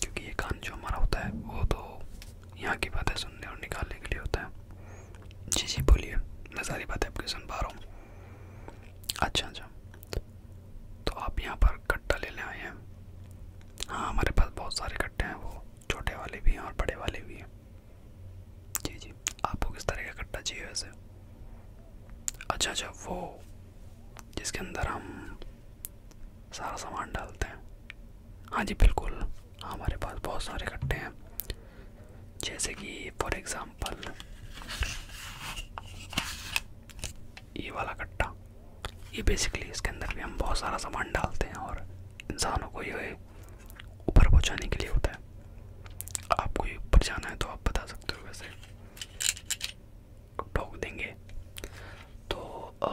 क्योंकि ये कान जो हमारा होता है वो तो यहाँ की बातें सुनने और निकालने के लिए होता है जी जी बोलिए मैं सारी बातें आपकी सुन पा रहा हूँ अच्छा अच्छा तो आप यहाँ पर कट्टा लेने आए हैं हाँ हमारे पास बहुत सारे कट्टे हैं वो छोटे वाले भी हैं और बड़े वाले भी हैं जी जी आपको किस तरह का कट्टा चाहिए वैसे अच्छा अच्छा वो जिसके अंदर हम सारा सामान डालते हैं हाँ जी बिल्कुल हाँ हमारे पास बहुत सारे कट्टे हैं जैसे कि फॉर एग्ज़ाम्पल ये वाला कट्टा ये बेसिकली इसके अंदर भी हम बहुत सारा सामान डालते हैं और इंसानों को ये ऊपर पहुँचाने के लिए होता है आपको ये ऊपर जाना है तो आप बता सकते हो वैसे ठोक देंगे तो आ,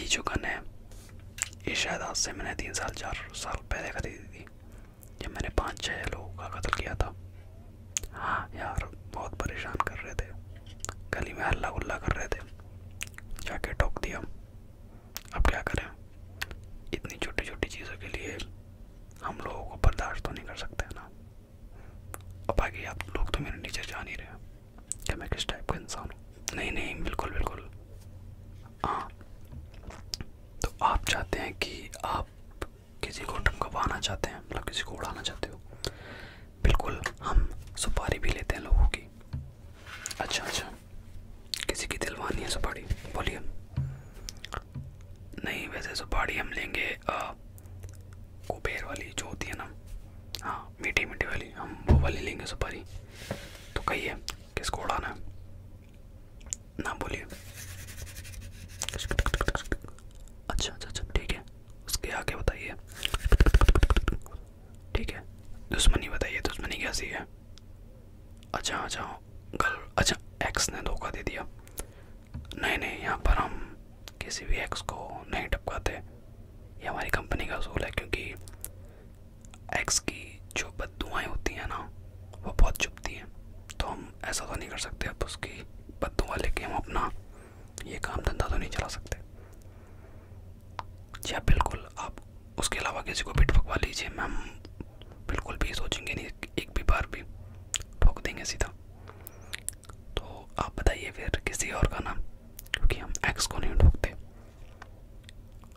ये जो गन है ये शायद आज से मैंने तीन साल चार साल पहले खरीदी थी जब मैंने पाँच छः लोगों का कत्ल किया था हाँ यार बहुत परेशान कर रहे थे गली में हल्ला गुल्ला कर रहे थे जाके टोक दिया अब क्या करें इतनी छोटी छोटी चीज़ों के लिए हम लोगों को बर्दाश्त तो नहीं कर सकते ना और बाकी आप लोग तो मेरे नीचे जान ही रहे कि मैं किस टाइप का इंसान हूँ नहीं नहीं बिल्कुल बिल्कुल हाँ तो आप चाहते हैं कि आप किसी को टमकवाना चाहते हैं मतलब किसी को उड़ाना चाहते हो बिल्कुल हम सुपारी भी लेते हैं लोगों की अच्छा अच्छा किसी की दिलवानी है सुपारी बोलिए नहीं वैसे सुपारी हम लेंगे कुबेर वाली जो होती है ना हाँ मीठी मीठी वाली हम वो वाली लेंगे सुपारी तो कहिए किसको उड़ाना है ना बोलिए अच्छा अच्छा अच्छा ठीक है उसके आगे बताइए ठीक है दुश्मनी बताइए दुश्मनी कैसी है अच्छा अच्छा गर्ल अच्छा एक्स ने धोखा दे दिया नहीं नहीं यहाँ पर हम किसी भी एक्स को नहीं टपकाते ये हमारी कंपनी का असूल है क्योंकि एक्स की जो बदुआएँ होती हैं ना वो बहुत चुपती है तो हम ऐसा तो नहीं कर सकते अब उसकी बदुआ लेके हम अपना ये काम धंधा तो नहीं चला सकते जी हाँ, बिल्कुल आप उसके अलावा किसी को भी ठोकवा लीजिए मैम बिल्कुल भी सोचेंगे नहीं एक भी बार भी ठोक देंगे सीधा तो आप बताइए फिर किसी और का नाम क्योंकि हम एक्स को नहीं ठोकते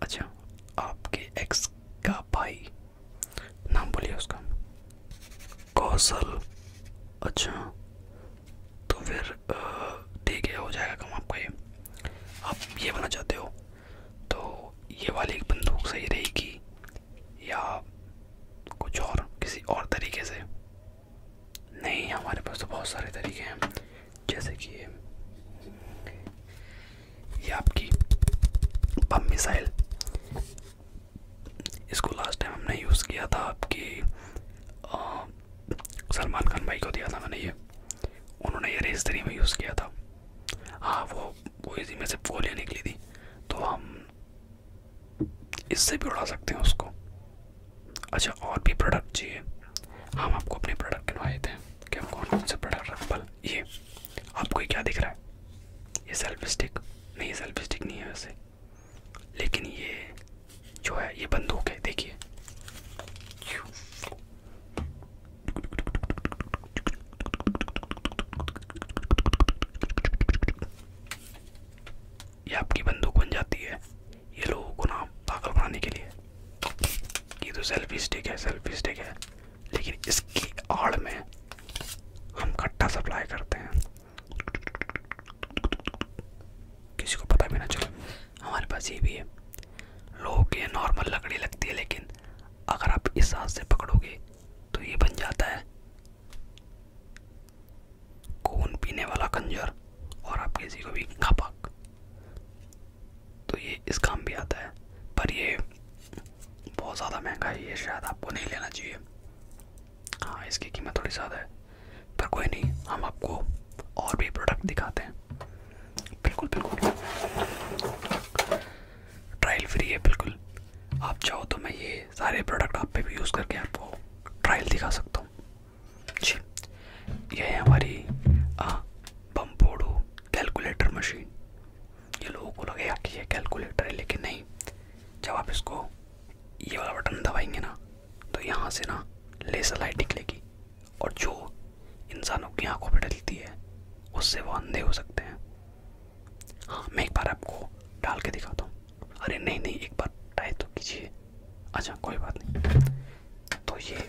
अच्छा आपके एक्स का भाई नाम बोलिए उसका कौशल अच्छा तो फिर ठीक है हो जाएगा कम आपको ये आप ये बना चाहते हो तो ये वाली बंदूक सही रहेगी या कुछ और किसी और तरीके से नहीं हमारे पास तो बहुत सारे तरीके हैं जैसे कि ये ये आपकी बम मिसाइल इसको लास्ट टाइम हमने यूज़ किया था आपकी सलमान खान भाई को दिया था मैंने ये उन्होंने ये रेस थ्री में यूज़ किया था हाँ वो वो इसी में से गोलियाँ निकली थी तो हम इससे भी उड़ा सकते हैं उसको अच्छा और भी प्रोडक्ट चाहिए हम आपको अपने प्रोडक्ट बनवाए थे कि हम कौन कौन से प्रोडक्ट रखल ये आपको क्या दिख रहा है ये सेल्फ स्टिक नहीं सेल्फ स्टिक नहीं है वैसे लेकिन ये जो है ये बंदूक है देखिए ये आपकी बंदूक बन जाती है ये लोगों को ना पागल बनाने के लिए ये तो सेल्फी स्टिक है सेल्फी स्टिक है लेकिन इसकी आड़ में हम खट्टा सप्लाई करते हैं किसी को पता भी ना चले हमारे पास ये भी है लोगों के नॉर्मल लकड़ी लगती है लेकिन अगर आप इस हाथ से पकड़ोगे तो ये बन जाता है खून पीने वाला कंजर और आप किसी को भी खपक तो ये इस काम भी आता है पर ये बहुत ज़्यादा महंगा है ये शायद आपको नहीं लेना चाहिए हाँ इसकी कीमत थोड़ी ज़्यादा है पर कोई नहीं हम आपको और भी प्रोडक्ट दिखाते हैं बिल्कुल बिल्कुल ट्रायल फ्री है बिल्कुल आप चाहो तो मैं ये सारे प्रोडक्ट आप पे भी यूज़ करके आपको ट्रायल दिखा सकता हूँ जी यह है हमारी बम्पोडो कैलकुलेटर मशीन ये लोगों को लगेगा कि ये कैलकुलेटर है लेकिन नहीं जब आप इसको ये वाला बटन दबाएंगे ना तो यहाँ से ना लेसर लाइट निकलेगी और जो इंसानों की आंखों पर डलती है उससे वो अंधे हो सकते हैं हाँ मैं एक बार आपको डाल के दिखाता हूँ अरे नहीं नहीं एक बार ट्राई तो कीजिए अच्छा कोई बात नहीं तो ये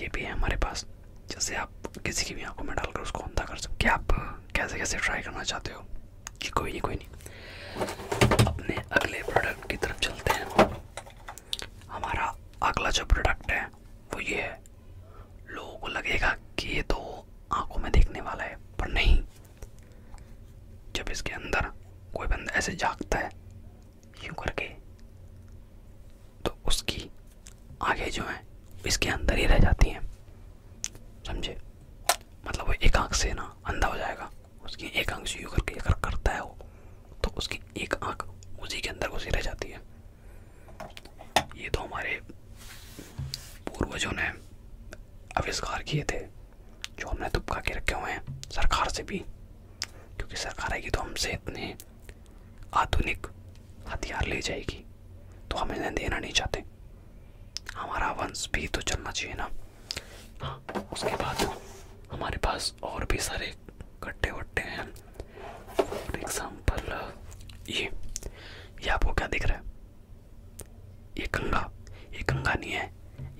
ये भी है हमारे पास जैसे आप किसी की भी आंखों में डालकर उसको अंधा कर सकते आप कैसे कैसे ट्राई करना चाहते हो कि कोई नहीं कोई नहीं अपने अगले प्रोडक्ट की तरफ चलते हैं हमारा अगला जो प्रोडक्ट है वो ये है लोगों को लगेगा कि ये तो आँखों में देखने वाला है पर नहीं जब इसके अंदर कोई बंदा ऐसे जागता है यूं करके तो उसकी आगे जो हैं इसके अंदर ही रह जाती हैं समझे मतलब वो एक आँख से ना अंधा हो जाएगा उसकी एक आंख से यू करके अगर करता है वो तो उसकी एक आँख उसी के अंदर घुसी रह जाती है ये तो हमारे पूर्वजों ने आविष्कार किए थे जो हमने दुबका के रखे हुए हैं सरकार से भी क्योंकि सरकार आएगी तो हमसे इतने आधुनिक हथियार ले जाएगी तो हम इन्हें देना नहीं चाहते हमारा वंश भी तो चलना चाहिए ना हाँ उसके बाद हमारे पास और भी सारे कट्टे वट्टे हैं फॉर एग्जाम्पल ये ये आपको क्या दिख रहा है ये गंगा ये गंगा नहीं है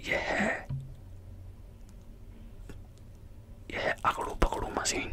यह है यह है आकड़ू पकड़ू मशीन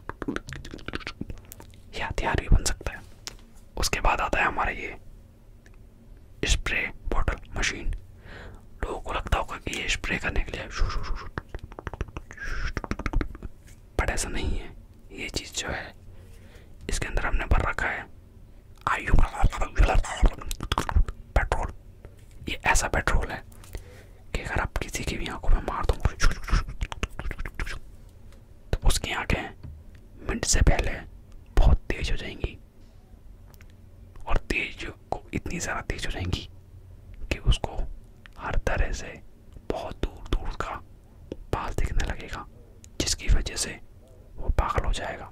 यह हथियार भी बन सकता है उसके बाद आता है हमारा ये स्प्रे बॉटल मशीन लोगों को लगता होगा कि ये स्प्रे करने के लिए बट ऐसा नहीं है ये चीज़ जो है इसके अंदर हमने भर रखा है आयु पेट्रोल ये ऐसा पेट्रोल है कि अगर आप किसी की भी आंखों में मार दो तो उसकी आंखें मिनट से पहले बहुत तेज हो जाएंगी और तेज को इतनी ज़्यादा तेज हो जाएंगी कि उसको हर तरह से बहुत दूर दूर का पास दिखने लगेगा जिसकी वजह से वो पागल हो जाएगा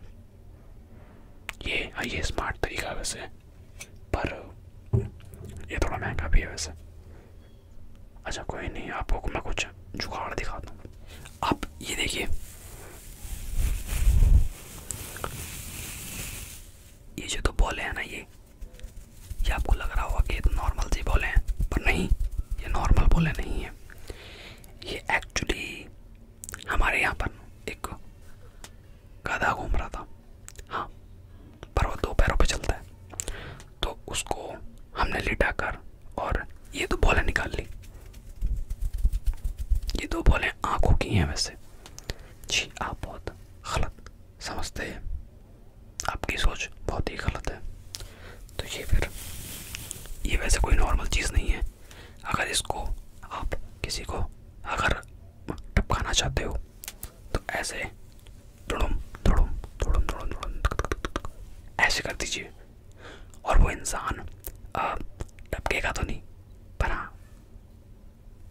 ये ये स्मार्ट तरीका है वैसे पर ये थोड़ा महंगा भी है वैसे अच्छा कोई नहीं आपको मैं कुछ जुगाड़ दिखाता हूँ आप ये देखिए ये जो तो बॉले हैं ना ये ये आपको लग रहा होगा कि ये तो नॉर्मल सी बॉले हैं पर नहीं ये नॉर्मल बॉले नहीं है ये एक्चुअली हमारे यहाँ पर एक गधा घूम रहा था हाँ पर वो दो पैरों पे चलता है तो उसको हमने लिटा कर और ये दो बॉलें निकाल ली ये दो बॉलें आंखों की हैं वैसे जी आप बहुत गलत समझते हैं आपकी सोच बहुत ही गलत है तो ये फिर ये वैसे कोई नॉर्मल चीज़ नहीं है अगर इसको आप किसी को अगर टपकाना चाहते हो तो ऐसे धुड़ुम धुड़ुम धुड़ुम धुड़ुम धुड़ुम ऐसे कर दीजिए और वो इंसान टपकेगा तो नहीं पर हाँ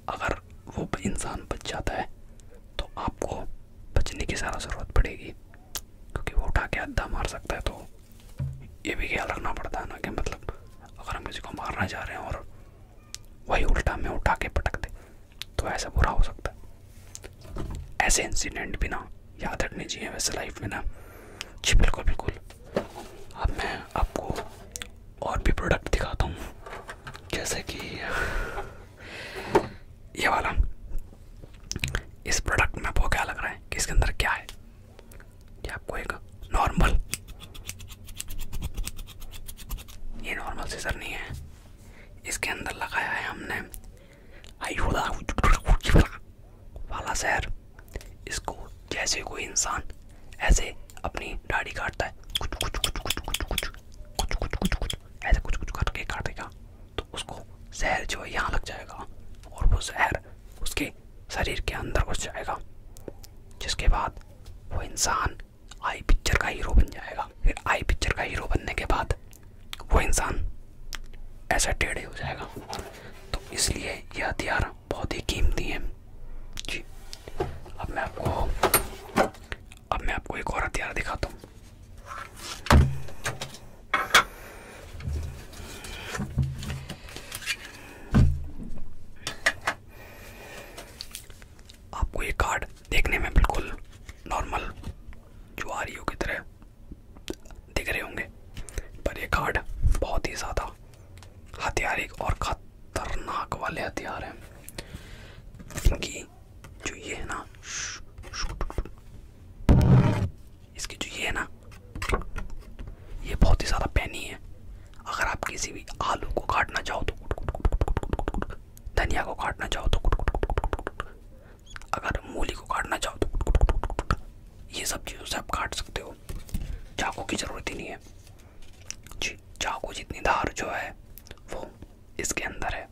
अगर वो इंसान बच जाता है तो आपको बचने की सारा ज़रूरत पड़ेगी क्योंकि वो उठा के अद्धा मार सकता है तो ये भी ख्याल रखना पड़ता है ना कि मतलब अगर हम किसी को मारना चाह रहे हैं और वही उल्टा में उठा के पटक दे तो ऐसा बुरा हो सकता है ऐसे इंसिडेंट भी ना याद रखने चाहिए वैसे लाइफ में ना जी बिल्कुल बिल्कुल अब मैं आपको और भी प्रोडक्ट दिखाता हूँ जैसे कि ये वाला इस प्रोडक्ट में आपको क्या लग रहा है कि इसके अंदर क्या है ये आपको एक नॉर्मल ये नॉर्मल सीजर नहीं है इसके अंदर लगाया है हमने आयुदा वाला जहर इसको जैसे कोई इंसान ऐसे अपनी दाढ़ी काटता है कुछ कुछ कुछ कुछ कुछ कुछ कुछ कुछ कुछ ऐसे कुछ कुछ करके काट तो उसको जहर जो है यहाँ लग जाएगा और वो जहर उसके शरीर के अंदर घुस जाएगा जिसके बाद वो इंसान आई पिक्चर का हीरो बन जाएगा फिर आई पिक्चर का हीरो बनने के बाद वो इंसान ऐसा टेढ़े हो जाएगा तो इसलिए ये हथियार बहुत ही कीमती हैं जी अब मैं आपको अब मैं आपको एक और हथियार दिखाता हूँ आपको ये कार्ड देखने में बिल्कुल नॉर्मल जो आ रही की तरह दिख रहे होंगे पर ये कार्ड बहुत ही ज़्यादा हथियारिक और खतरनाक वाले हथियार हैं इनकी जो ये है ना इसकी जो ये है ना ये बहुत ही ज़्यादा पैनी है अगर आप किसी भी आलू को काटना चाहो तो धनिया को काटना चाहो तो अगर मूली को काटना चाहो तो ये सब चीज़ों से आप काट सकते हो चाकू की ज़रूरत ही नहीं है जी चाकू जितनी धार जो है वो इसके अंदर है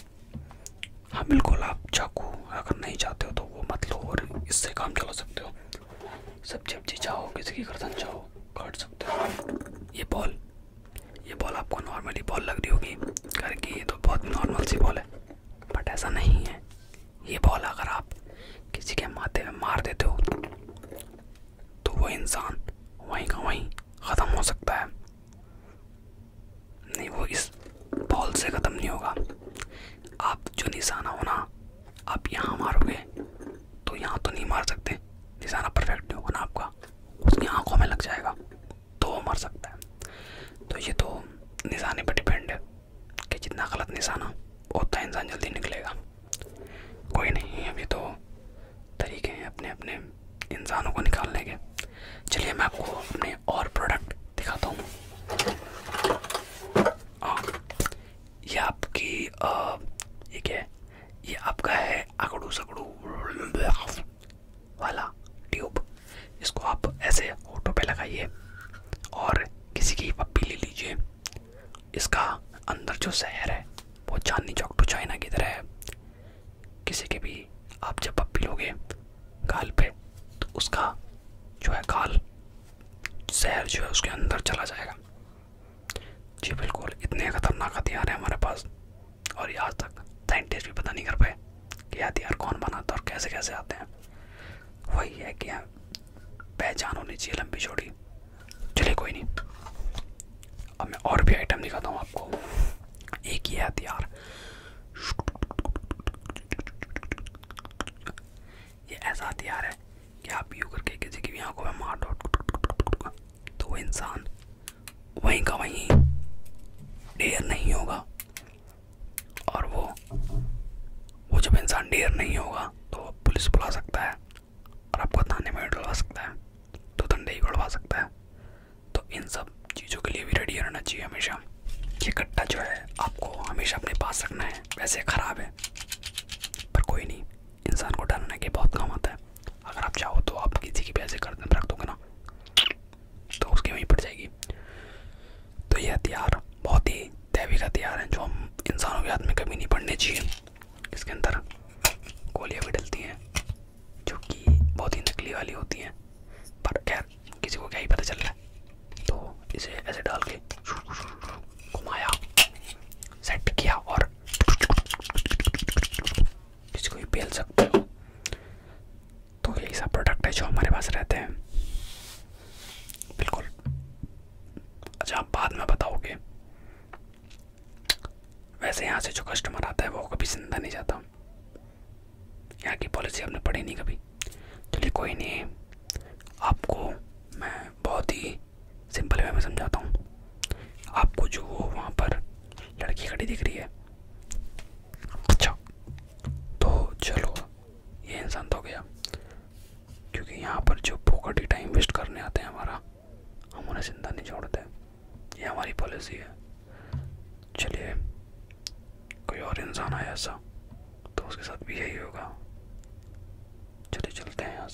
हाँ बिल्कुल आप चाकू अगर नहीं चाहते हो तो वो मत लो और इससे काम चला सकते हो सब्जी वब्जी चाहो किसी की गर्दन चाहो काट सकते हो ये बॉल ये बॉल आपको नॉर्मली बॉल लग रही होगी घर की ये तो बहुत नॉर्मल सी बॉल है बट ऐसा नहीं है ये बॉल अगर आप किसी के माथे में मार देते हो तो वो इंसान वहीं का वहीं ख़त्म हो सकता है नहीं वो इस बॉल से ख़त्म नहीं होगा आप जो निशाना होना आप यहाँ मारोगे तो यहाँ तो नहीं मार सकते निशाना परफेक्ट नहीं होगा ना आपका उसकी आंखों में लग जाएगा तो वो मर सकता है तो ये तो निशाने पर डिपेंड है कि जितना गलत निशाना उतना इंसान जल्दी निकलेगा कोई नहीं अभी तो तरीके हैं अपने अपने इंसानों को निकालने के चलिए मैं आपको अपने और प्रोडक्ट दिखाता हूँ हाँ, ये आपकी आ, ये क्या है ये आपका है अकड़ू सकड़ू वाला ट्यूब इसको आप ऐसे ऑटो पे लगाइए और किसी की पप्पी ले लीजिए इसका अंदर जो शहर है वो चांदनी चौक टू चाइना की तरह है किसी के भी आप जब पप्पी लोगे काल पे तो उसका जो है काल शहर जो है उसके अंदर चला जाएगा जी बिल्कुल इतने ख़तरनाक हथियार हैं हमारे पास और ये आज तक साइंटिस्ट भी पता नहीं कर पाए कि हथियार कौन बनाता है और कैसे कैसे आते हैं वही है कि पहचान होनी चाहिए लंबी चौड़ी चलिए कोई नहीं अब मैं और भी आइटम दिखाता हूँ आपको एक ही हथियार ये ऐसा हथियार है कि आप यू करके किसी की भी आंखों में मार दो तो वो इंसान वहीं का वहीं ढेर नहीं होगा और वो वो जब इंसान ढेर नहीं होगा तो वो पुलिस बुला सकता है और आपको थाने में डलवा सकता है तो दंडे ही बढ़वा सकता है तो इन सब चीज़ों के लिए भी रेडी रहना चाहिए हमेशा ये कट्टा जो है आपको हमेशा अपने पास रखना है वैसे ख़राब है पर कोई नहीं इंसान को डरने के बहुत काम आता है अगर आप चाहो तो आप किसी की भी ऐसे गर्दन रख दोगे ना तो उसकी वहीं पड़ जाएगी तो ये हथियार बहुत ही दैविक हथियार हैं जो हम इंसानों के हाथ में कभी नहीं पड़ने चाहिए इसके अंदर गोलियाँ भी डलती हैं जो कि बहुत ही नकली वाली होती हैं पर खैर किसी को क्या ही पता चल रहा है तो इसे ऐसे डाल के घुमाया सेट किया और इसको भी बेल सकते हो तो यही सब प्रोडक्ट है जो हमारे पास रहते हैं बिल्कुल अच्छा आप बाद में बताओगे वैसे यहाँ से जो कस्टमर आता है वो कभी जिंदा नहीं जाता यहाँ की पॉलिसी आपने पढ़ी नहीं कभी चलिए कोई नहीं आपको मैं बहुत ही सिंपल वे में समझाता हूँ आपको जो वो वहाँ पर लड़की खड़ी दिख रही है अच्छा तो चलो ये इंसान तो गया क्योंकि यहाँ पर जो फोकट टाइम वेस्ट करने आते हैं हमारा हम उन्हें जिंदा नहीं छोड़ते ये हमारी पॉलिसी है चलिए कोई और इंसान आया ऐसा तो उसके साथ भी यही होगा चलिए चलते हैं यहाँ से